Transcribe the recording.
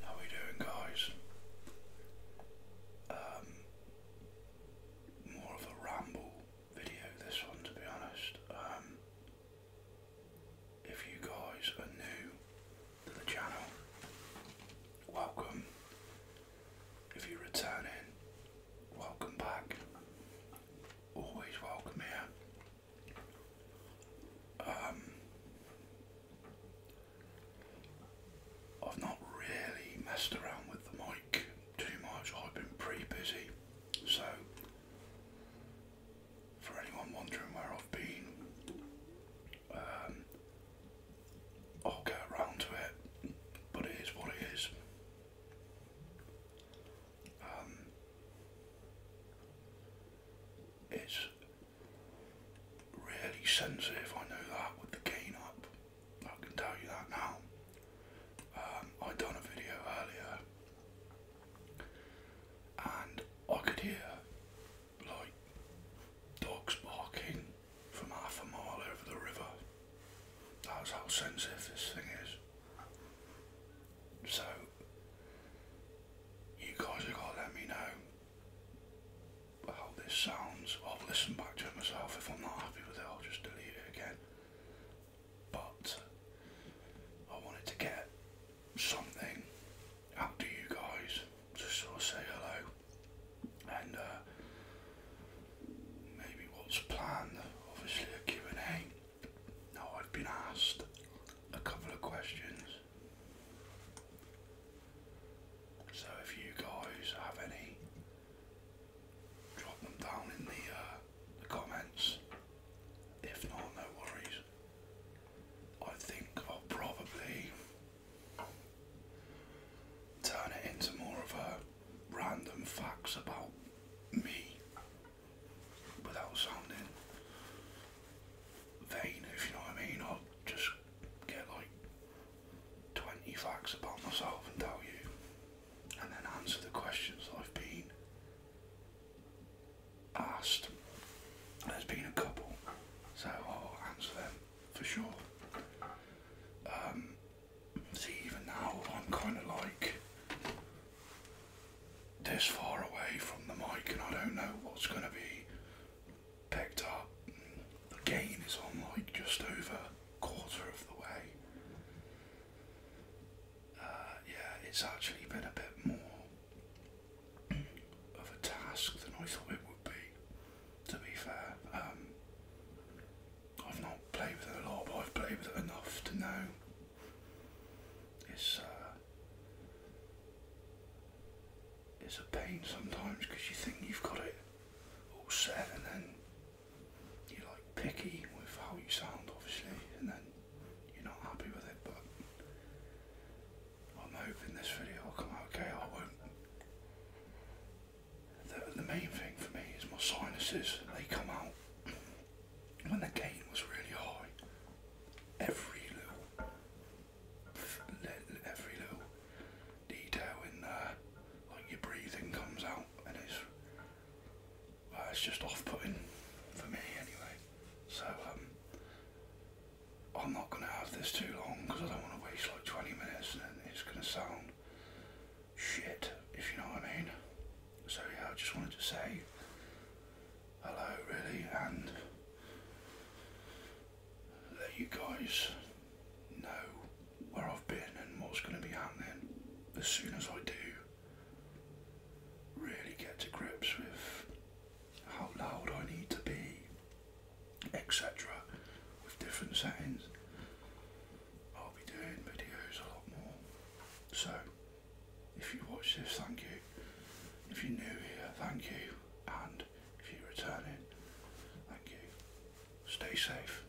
How we doing guys? Um, more of a ramble video this one to be honest. Um, if you guys are new to the channel, welcome. If you're returning, welcome back. Always welcome here. Um, I've not really messed around with the mic too much. I've been pretty busy, so for anyone wondering where I've been, um, I'll get around to it. But it is what it is. Um, it's really sensitive, I know that, with the gain up. I can tell you that now. Um, I done a video earlier and I could hear like dogs barking from half a mile over the river. That's how sensitive this thing is. So, you guys have got to let me know how this sounds. I'll listen back to it myself. If I'm not happy with it, I'll just delete it again. But, I wanted to get something out to you guys to sort of say hello and uh, maybe what's planned, obviously a and a Now I've been asked a couple of questions. So if you guys have any, drop them down in the, uh, the comments. If not, no worries. I think I'll probably turn it into more of a random facts about me without sounding vain, if you know what I mean, or just get like 20 facts about myself and tell you, and then answer the questions that I've been asked. There's been a couple, so I'll answer them for sure. Um, see, even now I'm kind of like this far away from the mic, and I don't know what's going to be picked up. The gain is on like just over quarter of the way. Uh, yeah, it's actually been a bit more of a task than I thought it would be, to be fair. Um, I've not played with it a lot, but I've played with it enough to know it's, uh, it's a pain sometimes because you think you've got it all set and then you're like picky with how you sound obviously and then you're not happy with it, but I'm hoping this video will come out okay. I won't. The, the main thing for me is my sinuses. They come out when the gain was really high. Every little, every little detail in there, like your breathing comes out, and it's it's just off-putting for me anyway. So um, I'm not going to have this too long because I don't want to waste like 20 minutes and it's going to sound shit, if you know what I mean. So yeah, I just wanted to say hello really and let you guys know where I've been and what's going to be happening as soon as I do really get to grips with how loud I need to be, etc. with different settings. I'll be doing videos a lot more. So if you watch this, thank you. If you're new here, thank you. And if you're returning, thank you. Stay safe.